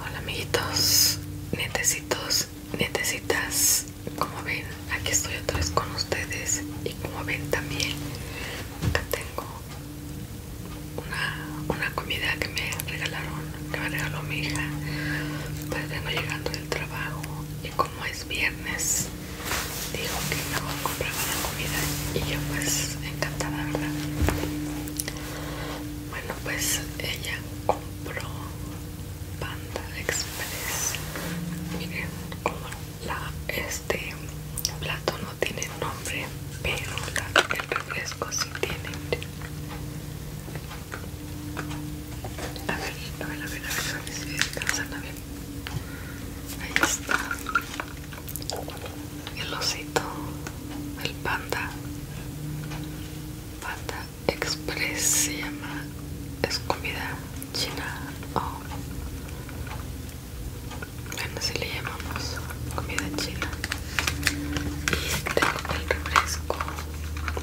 Hola amiguitos, netecitos, netecitas Como ven, aquí estoy otra vez con ustedes Y como ven también, acá tengo una, comida que me regalaron Que me regaló mi hija Pues vengo llegando del trabajo Y como es viernes, dijo que me voy a comprar una comida Y yo pues encantada, ¿verdad? Bueno, pues ella compró Panda Express. Miren como la este plato no tiene nombre, pero el refresco sí tiene. A ver, a ver, a ver, a ver, a ver si a Ahí está el osito, el panda, panda express se llama, es comida china o bueno si le llamamos comida china y tengo el refresco,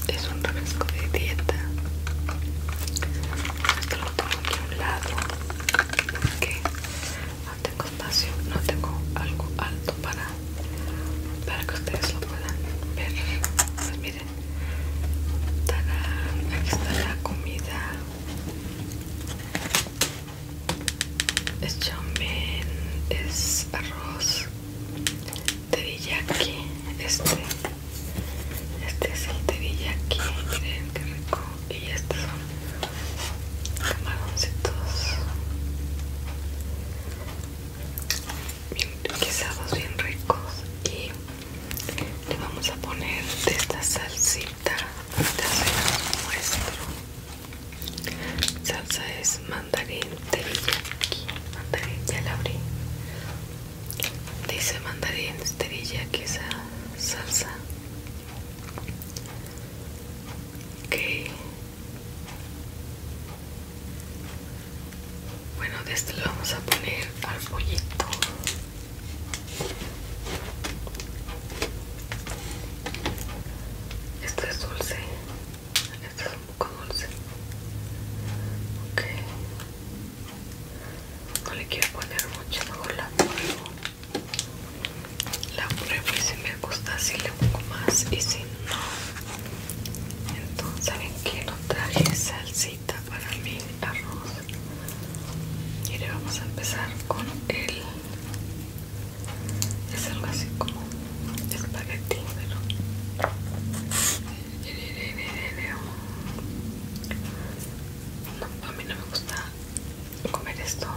es un refresco de dieta, esto lo tengo aquí a un lado porque no tengo espacio, no tengo algo alto para, que ustedes lo puedan ver. Pues miren, aquí está la comida. Es chomen, es arroz, teriyaki, este, este es el teriyaki, miren qué rico, y estos son camaroncitos bien bien ricos y le vamos a poner de esta salsita de muestro salsa es mandarín aquí. mandarín ya la abrí dice mandarín terilla esa salsa ok bueno, de este le vamos a poner al pollito. Esto es dulce. Esto es un poco dulce. Ok. No le quiero poner mucho, mejor la pruebo. La y si me gusta, si le pongo más y si no entonces saben que no traje salsita para mi arroz y le vamos a empezar con el es algo así como espagueti pero a mí no me gusta comer esto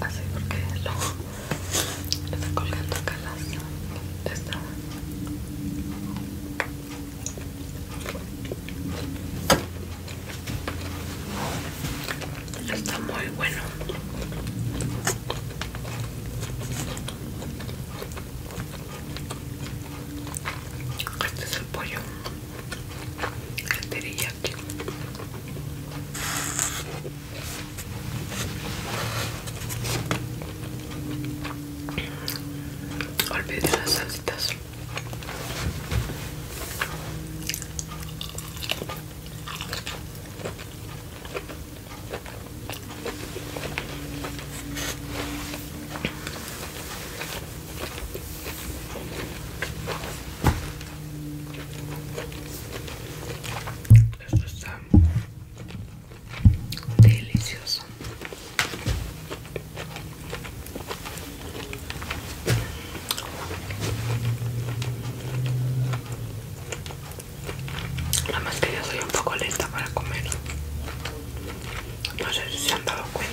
así porque lo está colgando acá las esta Está muy bueno. Este es el pollo. El teriyaki. Olvidé las salsitas. Esto está delicioso Nada más que yo soy un poco lenta para comer No sé si se han dado cuenta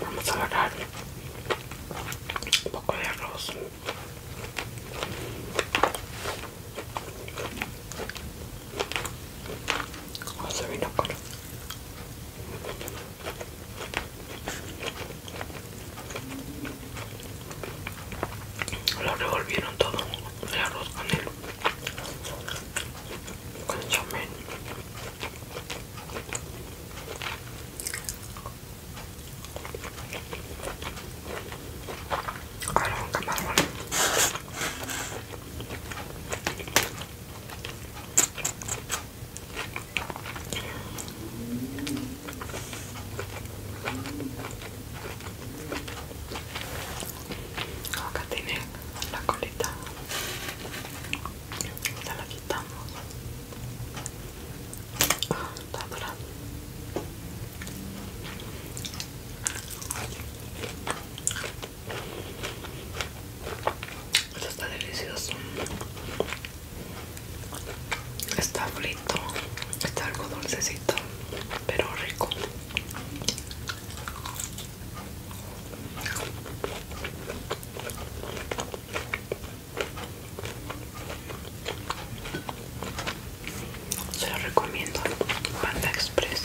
Vamos a agarrar un poco de arroz. Con vino binóculo lo revolvieron todo el arroz con el con el chamel ahora un camarón Acá tiene la colita. Ya la quitamos. Ah, está dorado Esto está delicioso. Está frito. Está algo dulcecito pero rico. Se lo recomiendo, Panda Express.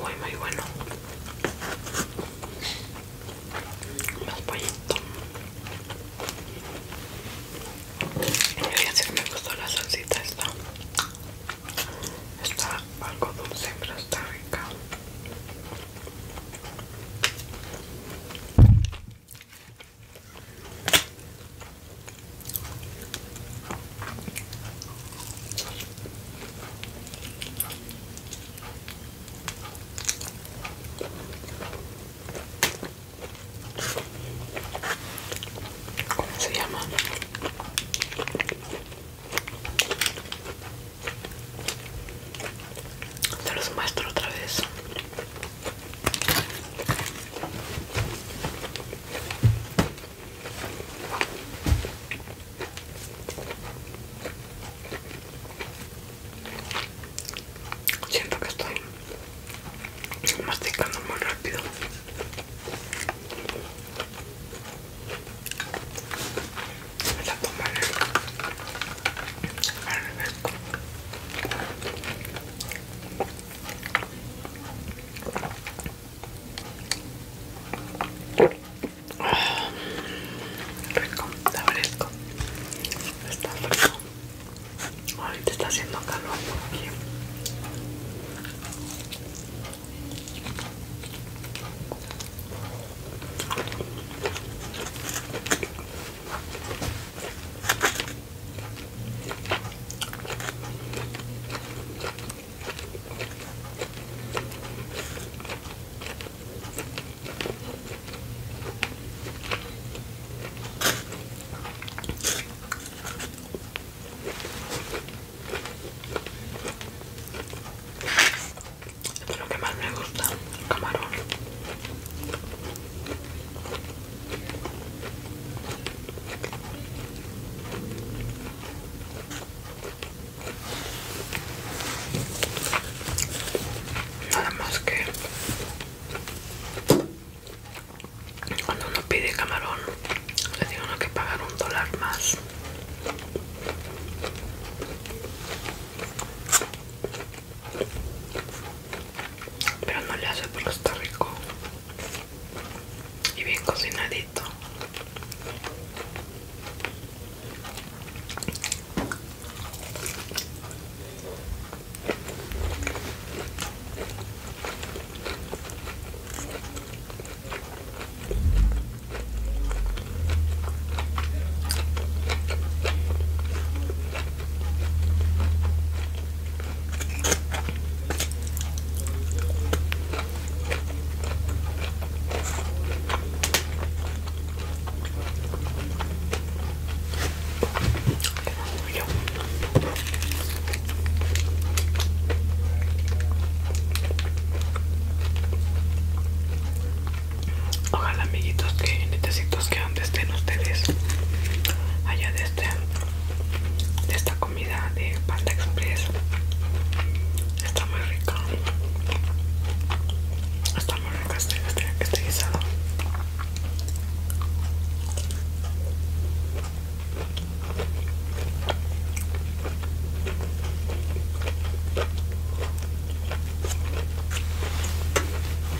Muy, muy bueno. Más pollito. Voy a decir, me gustó la salsita esta. Está algo dulce, pero está rica. ¿Cómo se llama? Te los muestro otra vez. Siento que estoy masticando muy rápido. Rico, está fresco. Está fresco. Ahorita está haciendo calor por aquí. Es lo que más me gusta, camarón. Nada más que cuando uno pide camarón, le digo que pagar un dólar más pero no le hace porque está rico y bien cocinadito Ojalá amiguitos que netecitos que donde estén ustedes allá de este de esta comida de Panda Express está muy rica está muy rica este, este, este guisado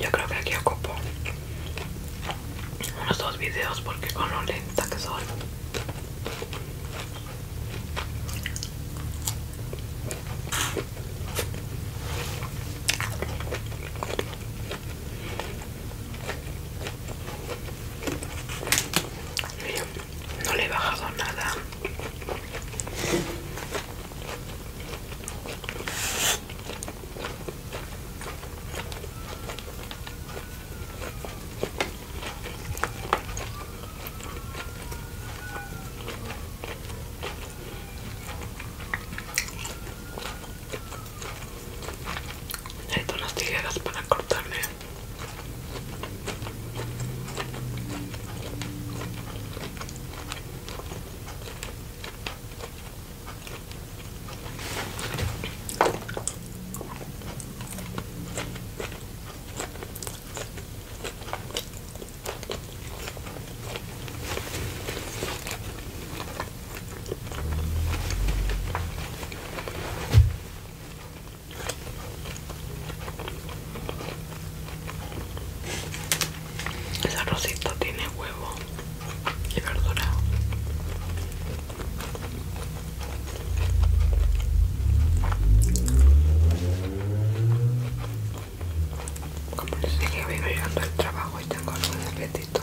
Yo creo que aquí ocupo unos dos videos porque con lo lenta que son no le he bajado nada. Necesito unas tijeras para cortarle. El arrocito tiene huevo y verdura. Como les sigue vengo llegando al trabajo y tengo algún apetito.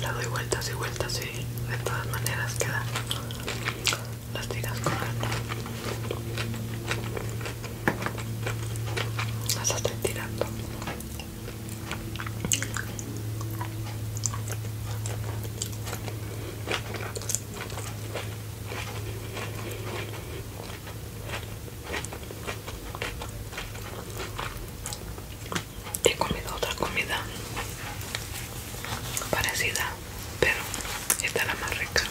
la doy vueltas y vueltas y de todas maneras queda las tiras corriendo las estoy tirando He comido otra comida parecida, pero esta es la más rica.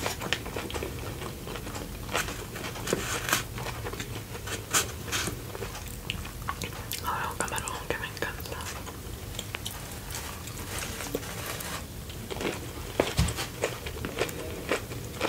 Ahora un camarón que me encanta.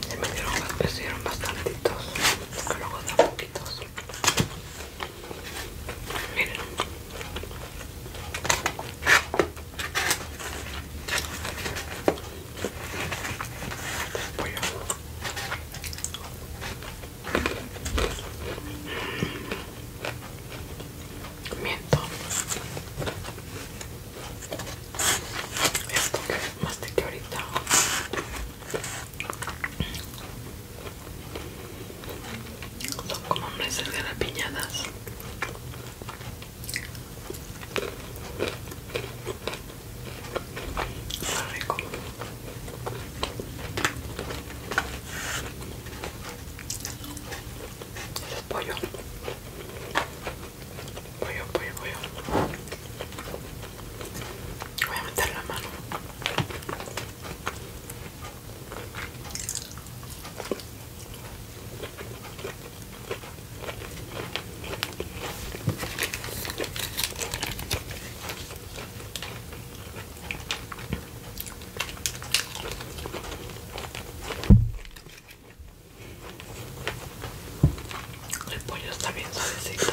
Se me dieron, me dieron bastantitos, que luego da poquitos. Miren. voy a miento esto que mastiqué ahorita son como nueces garapiñadas está rico pollo pollo pollo pollo voy a meter la mano el pollo está bien suavecito.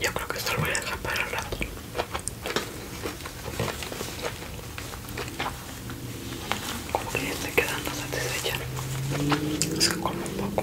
Yo creo que esto lo voy a dejar para el lado Como que ya estoy quedando satisfecha. Es que como un poco.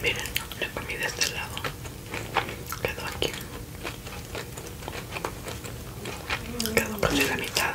Miren, la comí de este lado. Quedó aquí. Quedó casi la mitad.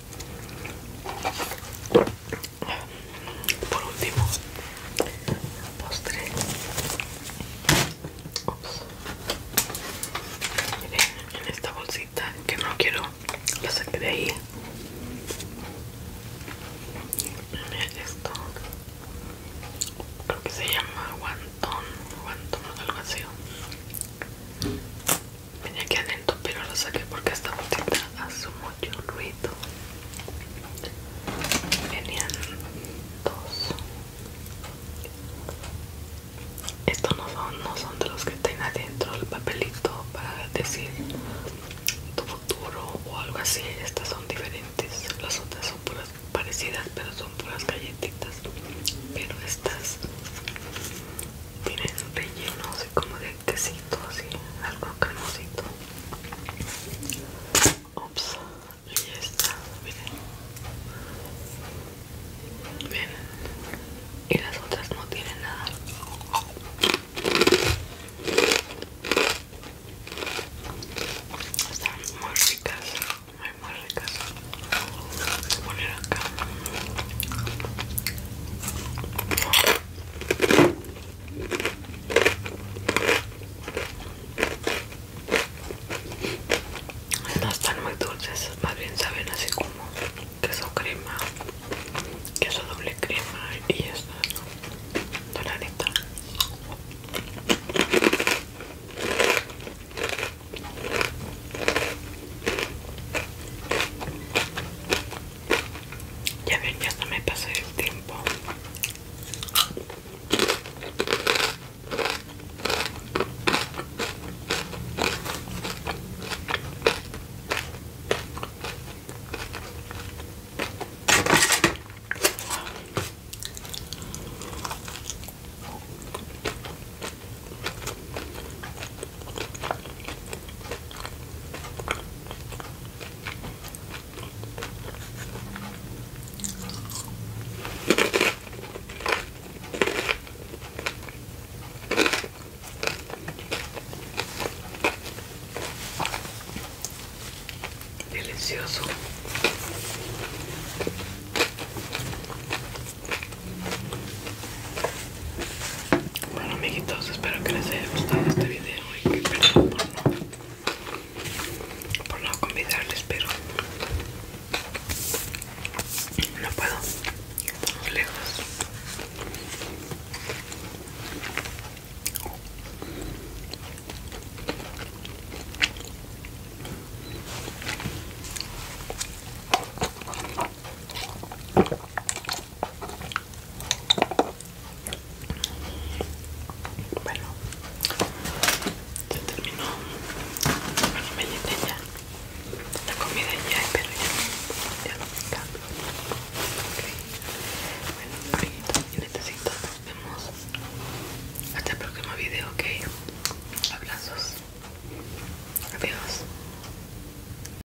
Por último, postre. en esta bolsita que no quiero, la saqué de ahí. Miren esto. Creo que se llama guantón, guantón o algo así. Venía aquí pero lo saqué porque esta botita hace mucho ruido. Venían dos. Estos no son, no son de los que están adentro el papelito para decir tu futuro o algo así. Estas son diferentes. Las otras son puras parecidas, pero son puras galletitas. Pero estas tiene rellenos relleno así como de quesito, así, algo cremosito. Ops, y ya está, miren. Miren. Y las otras no tienen nada. Están muy ricas, muy muy ricas. Voy a poner acá. Estas están muy dulces, más bien saben así como queso crema, queso doble crema y estas doradita. Ya ven, ya no me pasé el tiempo. Delicioso. Bueno amiguitos, espero que les haya gustado este video y que perdón por no, por no convidarles, pero no puedo, lejos. Bueno, se terminó. Bueno, me llené ya. La comida ya, pero ya, ya lo cambio. ok Bueno, amiguitos y nos vemos. Hasta el próximo video, ok. Abrazos. Adiós.